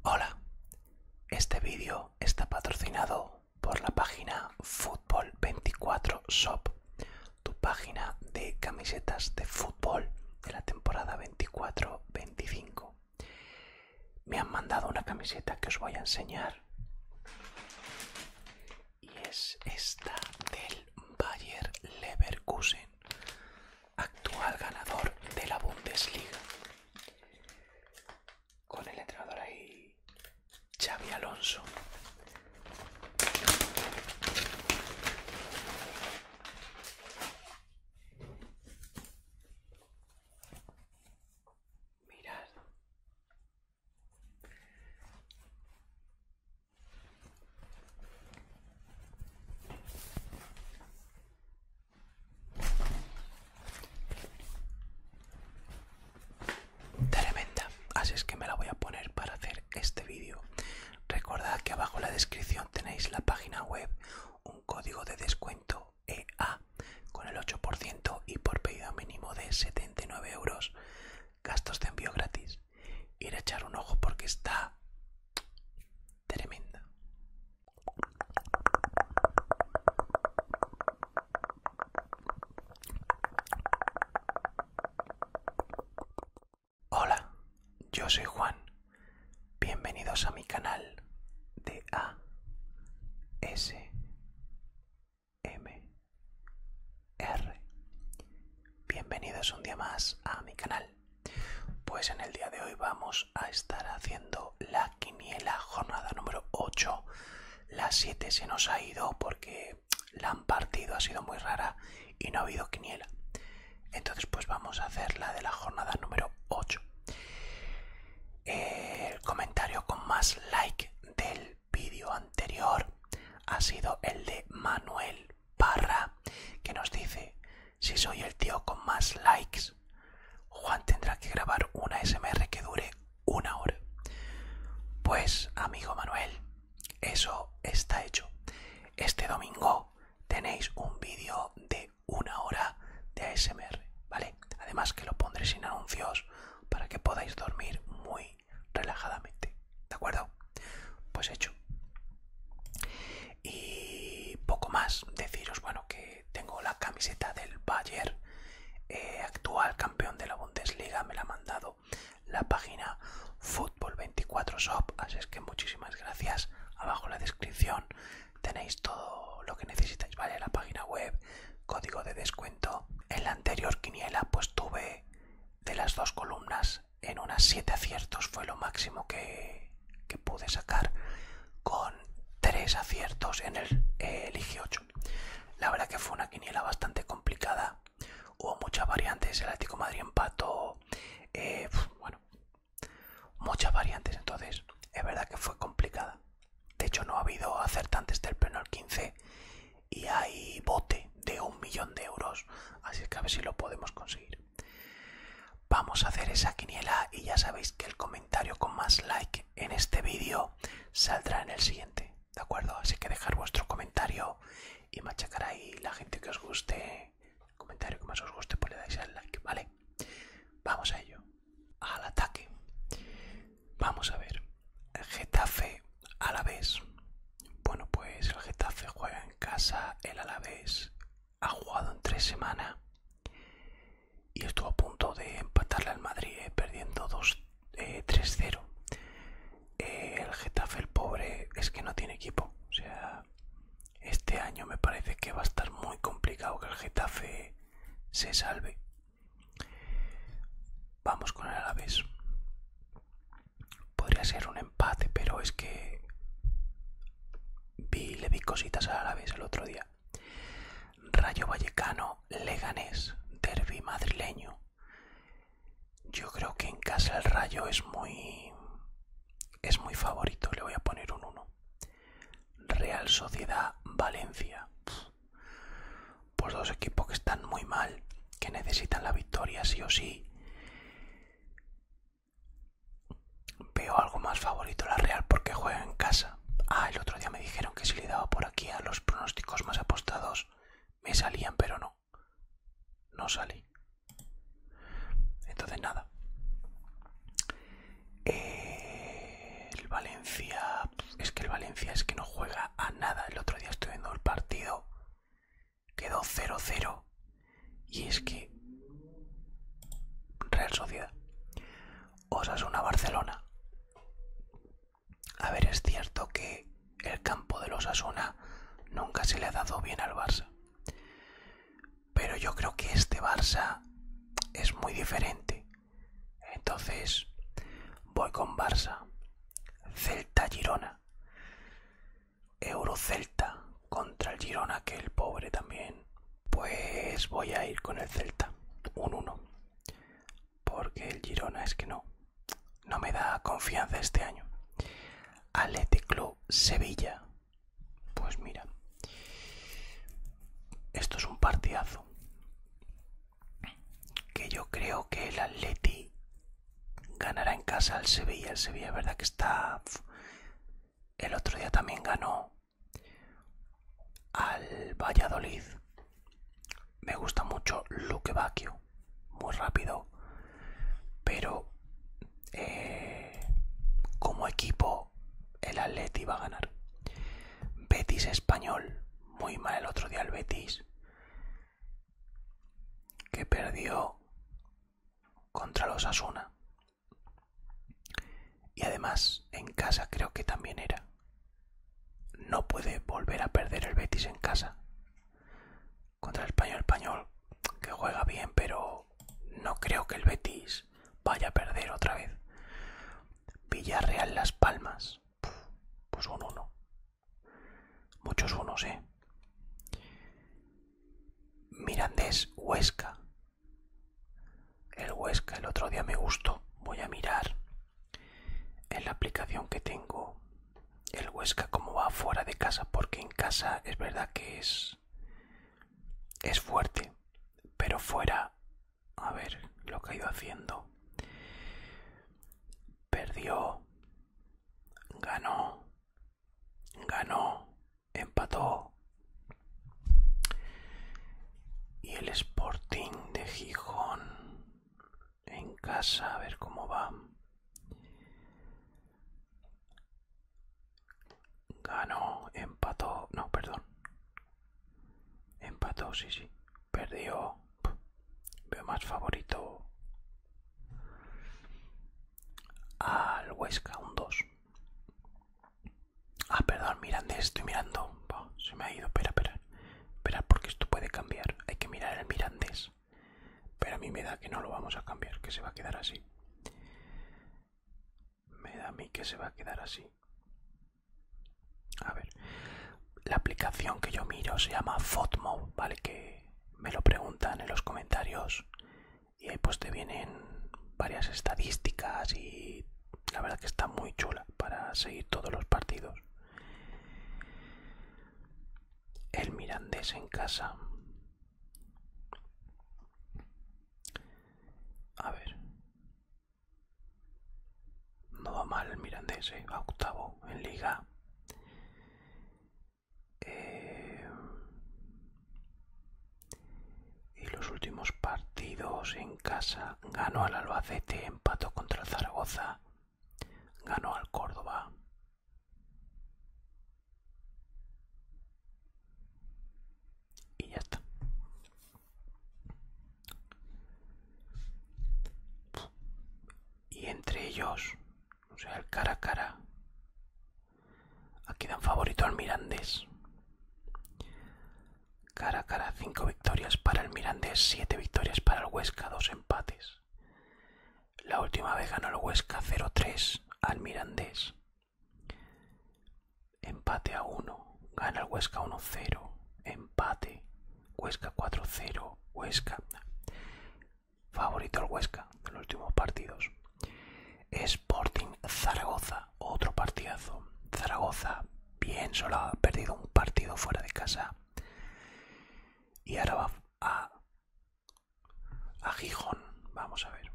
Hola, este vídeo está patrocinado por la página Fútbol 24 Shop, tu página de camisetas de fútbol de la temporada 24-25. Me han mandado una camiseta que os voy a enseñar y es esta del Bayer Leverkusen actual ganador de la Bundesliga. Con el entrenador ahí, Xavi Alonso. Mirad. Tremenda, así es que me la voy a poner para hacer este vídeo. Recordad que abajo en la descripción tenéis la página web, un código de descuento EA con el 8% y por pedido mínimo de 79 euros, gastos de envío gratis. Ir a echar un ojo porque está tremenda. Hola, yo soy Juan. Bienvenidos a mi canal de A S M R. Bienvenidos un día más a mi canal. Pues en el día de hoy vamos a estar haciendo la quiniela, jornada número 8. las 7 se nos ha ido porque la han partido, ha sido muy rara y no ha habido quiniela. Entonces pues vamos a hacer la de la jornada número 8. El comentario con más like del vídeo anterior ha sido el de Manuel barra, que nos dice, si soy el tío con más likes, Juan tendrá que grabar una SMR que dure una hora. Pues, amigo Manuel, eso está hecho. Este domingo tenéis un vídeo de una hora de ASMR, ¿vale? Además que lo pondré sin anuncios para que podáis dormir muy relajadamente, ¿de acuerdo? Pues hecho. Y poco más, deciros, bueno, que tengo la camiseta del Bayern, eh, actual campeón de la Bundesliga, me la ha mandado la página Fútbol 24 Shop, así es que muchísimas gracias. Abajo en la descripción tenéis todo lo que necesitáis, ¿vale? La página web, código de descuento. En la anterior quiniela pues tuve de las dos columnas en unas 7 aciertos fue lo máximo que, pude sacar con 3 aciertos en el, 8 eh, la verdad que fue una quiniela bastante complicada hubo muchas variantes el Atlético Madrid empató eh, bueno muchas variantes entonces es verdad que fue complicada de hecho no ha habido acertantes del pleno al 15 y hay bote de un millón de euros así que a ver si lo podemos conseguir Vamos a hacer esa quiniela y ya sabéis que el comentario con más like en este vídeo saldrá en el siguiente, ¿de acuerdo? Así que dejar vuestro comentario y machacar ahí la gente que os guste, el comentario que más os guste, pues le dais al like, ¿vale? Vamos a ello, al ataque. Vamos a ver, Getafe a la vez. Bueno, pues el Getafe juega en casa el Alavés ha jugado en tres semanas y estuvo a punto de empatarle al Madrid eh, perdiendo 2 3-0 eh, eh, el Getafe el pobre es que no tiene equipo o sea este año me parece que va a estar muy complicado que el Getafe se salve vamos con el Alavés Podría ser un empate, pero es que vi, le vi cositas a la vez el otro día. Rayo Vallecano, Leganés, Derby madrileño. Yo creo que en casa el Rayo es muy es muy favorito, le voy a poner un 1. Real Sociedad Valencia. Pues dos equipos que están muy mal, que necesitan la victoria sí o sí Veo algo más favorito la Real porque juega en casa. Ah, el otro día me dijeron que si le daba por aquí a los pronósticos más apostados me salían, pero no. No salí. Entonces nada. Eh, el Valencia... Es que el Valencia es que no juega a nada. El otro día estoy viendo el partido quedó 0-0 y es que Real Sociedad Osasuna-Barcelona a ver, es cierto que el campo de Osasuna nunca se le ha dado bien al Barça. Pero yo creo que este Barça es muy diferente. Entonces, voy con Barça. Celta Girona. Euro Eurocelta contra el Girona, que el pobre también. Pues voy a ir con el Celta, un 1. Porque el Girona es que no, no me da confianza este año. Athletic Club Sevilla. Pues mira, esto es un partidazo. Que yo creo que el Atleti ganará en casa al Sevilla. El Sevilla, verdad que está. El otro día también ganó al Valladolid. Me gusta mucho Luque Vacchio. muy rápido, pero eh, como equipo el Atleti va a ganar. Betis español, muy mal el otro día el Betis que perdió contra los Asuna. Y además en casa creo que también era. No puede volver a perder el Betis en casa. Contra el español español, que juega bien, pero no creo que el Betis vaya a perder otra vez. Villarreal Las Palmas, pues un 1. Muchos unos, ¿eh? Mirandés Huesca. El Huesca el otro día me gustó. Voy a mirar en la aplicación que tengo el Huesca como va fuera de casa, porque en casa es verdad que es es fuerte, pero fuera, a ver, lo que ha ido haciendo perdió, ganó, ganó, empató. Y el Sporting de Gijón en casa, a ver cómo va. Ganó, empató, no, perdón. Empató, sí, sí perdió. Veo más favorito al Huesca, un 2. Ah, perdón, Mirandés, estoy mirando. se me ha ido, espera, espera. Espera, porque esto puede cambiar. Hay que mirar el Mirandés. Pero a mí me da que no lo vamos a cambiar, que se va a quedar así. Me da a mí que se va a quedar así. A ver, la aplicación que yo miro se llama FotMob, ¿vale? Que me lo preguntan en los comentarios y ahí pues te vienen varias estadísticas y la verdad que está muy chula para seguir todos los partidos. El Mirandés en casa. A ver, no va mal el Mirandés, eh, octavo en liga. Eh, y los últimos partidos en casa ganó al Albacete, empató contra Zaragoza, ganó al Córdoba. Y ya está. Y entre ellos, o sea, el cara a cara, aquí dan favorito al Mirandés. Cara a cara, 5 victorias para el Mirandés, siete victorias para el Huesca, dos empates. La última vez ganó el Huesca 0-3 al Mirandés. Empate a 1. Gana el Huesca 1-0. Empate. Huesca 4-0. Huesca. Favorito el Huesca de los últimos partidos. Sporting Zaragoza. Otro partidazo. Zaragoza bien solo ha perdido un partido fuera de casa. Y ahora va a, a Gijón. Vamos a ver.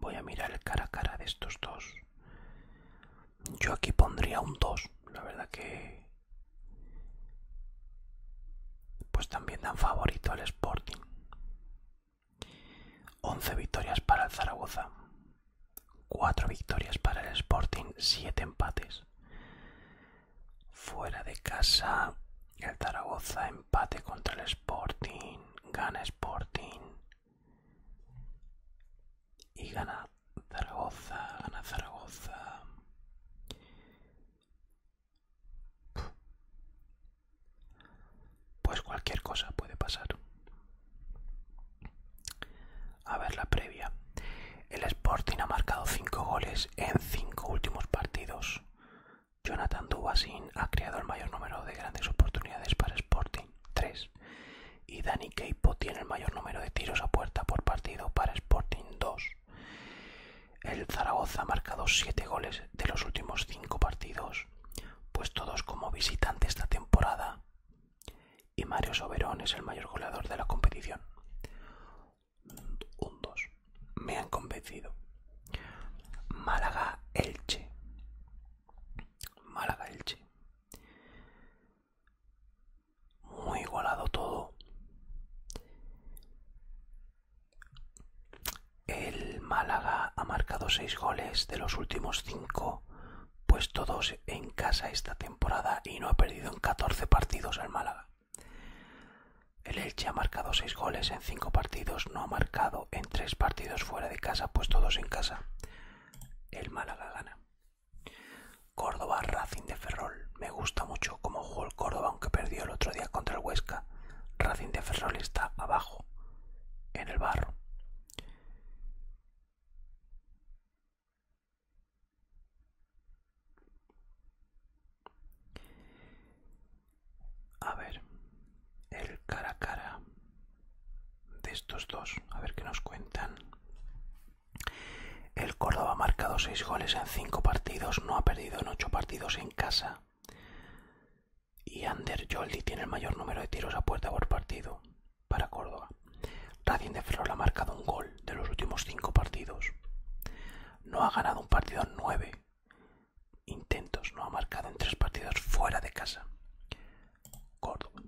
Voy a mirar el cara a cara de estos dos. Yo aquí pondría un 2. La verdad que... Pues también dan favorito al Sporting. 11 victorias para el Zaragoza. 4 victorias para el Sporting. 7 empates. Fuera de casa, el Zaragoza empate contra el Sporting. Gana Sporting. Y gana Zaragoza, gana Zaragoza. Pues cualquier cosa puede pasar. A ver la previa. El Sporting ha marcado 5 goles en 5 últimos partidos. Jonathan Dubasin ha creado el mayor número de grandes oportunidades para Sporting, 3 y Dani Keipo tiene el mayor número de tiros a puerta por partido para Sporting 2. El Zaragoza ha marcado 7 goles de los últimos 5 partidos, pues todos como visitante esta temporada y Mario Soberón es el mayor goleador de la competición. Un 2. Me han convencido. Málaga Elche. Málaga Elche. Muy igualado todo. El Málaga ha marcado 6 goles de los últimos 5, pues todos en casa esta temporada y no ha perdido en 14 partidos al Málaga. El Elche ha marcado 6 goles en cinco partidos no ha marcado en tres partidos fuera de casa, pues todos en casa. El Málaga gana. Córdoba Racing de Ferrol. Me gusta mucho cómo jugó el Córdoba, aunque perdió el otro día contra el Huesca. Racing de Ferrol está abajo, en el barro. A ver, el cara a cara de estos dos, a ver qué nos cuentan. El Córdoba ha marcado 6 goles en 5 partidos, no ha perdido en 8 partidos en casa. Y Ander Joldi tiene el mayor número de tiros a puerta por partido para Córdoba. Radin de Flor ha marcado un gol de los últimos 5 partidos. No ha ganado un partido en 9 intentos no ha marcado en tres partidos fuera de casa. Córdoba.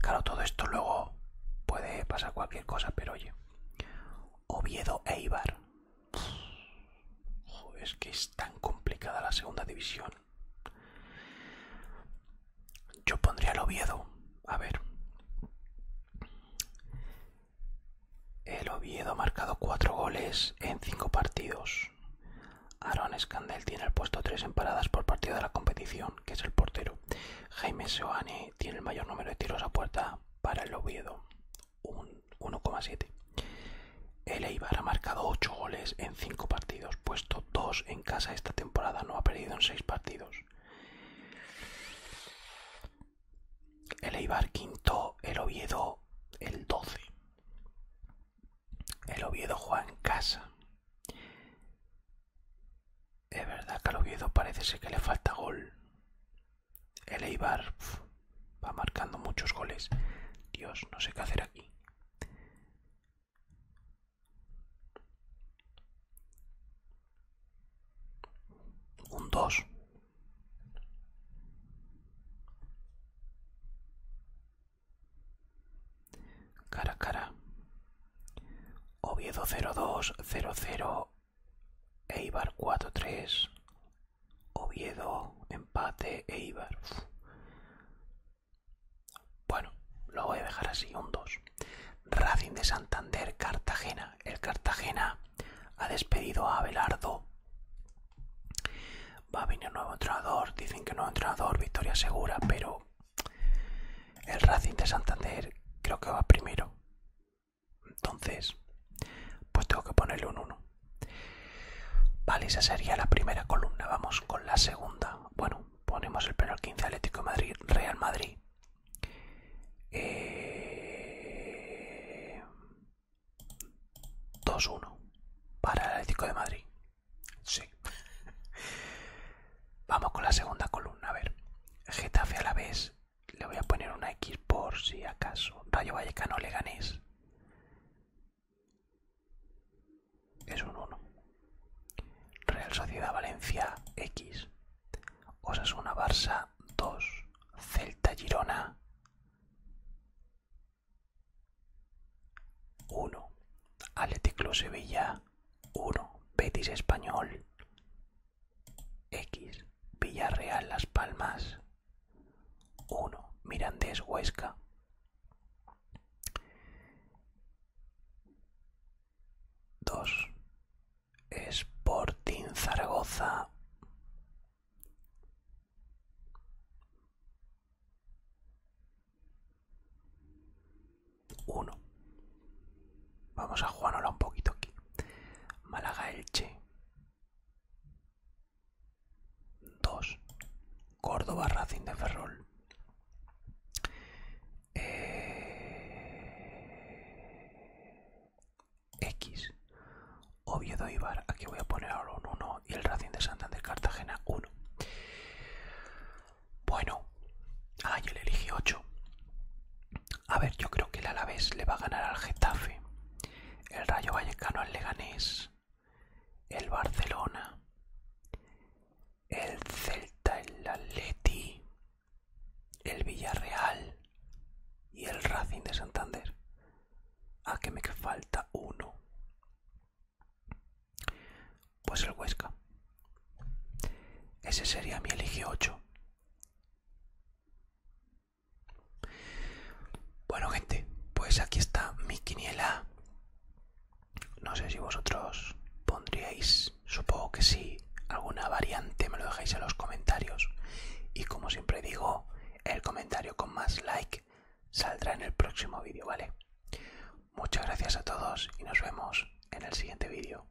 Claro, todo esto luego puede pasar cualquier cosa, pero oye. Oviedo Eibar. Joder, es que es tan complicada la segunda división. Yo pondría el Oviedo. A ver. El Oviedo ha marcado cuatro goles en cinco partidos. Aaron Scandal tiene el puesto 3 en paradas por partido de la competición, que es el portero. Jaime Seoane tiene el mayor número de tiros a puerta para el Oviedo, 1,7. El Eibar ha marcado 8 goles en 5 partidos, puesto 2 en casa esta temporada, no ha perdido en 6 partidos. El Eibar quinto, el Oviedo el 12. El Oviedo juega en casa. Es verdad que al Oviedo parece que le falta gol. El Eibar va marcando muchos goles. Dios, no sé qué hacer aquí. Un 2. Cara a cara. Oviedo 02 00 Eibar 4-3. Oviedo, empate, Eibar. Bueno, lo voy a dejar así, un 2. Racing de Santander, Cartagena. El Cartagena ha despedido a Abelardo Va a venir un nuevo entrenador, dicen que nuevo entrenador, victoria segura, pero el Racing de Santander creo que va primero. Entonces, pues tengo que ponerle un 1. Vale, esa sería la primera columna. Vamos con la segunda. Bueno, ponemos el penal 15 Atlético de Madrid, Real Madrid. Eh, 2-1 para el Atlético de Madrid. Sí. Vamos con la segunda columna. A ver, Getafe a la vez. Le voy a poner una X por si acaso. Rayo Vallecano le ganéis. Es un 1. Real Sociedad Valencia X. Osasuna Barça 2. Celta Girona 1. Athletic Sevilla 1. Betis Español X. Villarreal Las Palmas 1. Mirandés Huesca 2. Sporting Zaragoza. Uno. Vamos a Juanola un poquito aquí. Málaga Elche. dos Córdoba Racing de Ferrol. Eh, X. Oviedo Ibar, aquí voy a poner ahora uno 1 y el Racing de Santander Cartagena 1. Bueno, ah, yo le elegí 8. A ver, yo creo que el Alavés le va a ganar al Getafe, el Rayo Vallecano al Leganés, el Barcelona, el Celta, el Atleti, el Villarreal y el Racing de Santander. ¿A que me falta uno? Pues el Huesca. Ese sería mi elige 8. Bueno gente, pues aquí está mi quiniela. No sé si vosotros pondríais pues, supongo que sí, alguna variante me lo dejáis en los comentarios. Y como siempre digo, el comentario con más like saldrá en el próximo vídeo, ¿vale? Muchas gracias a todos y nos vemos en el siguiente vídeo.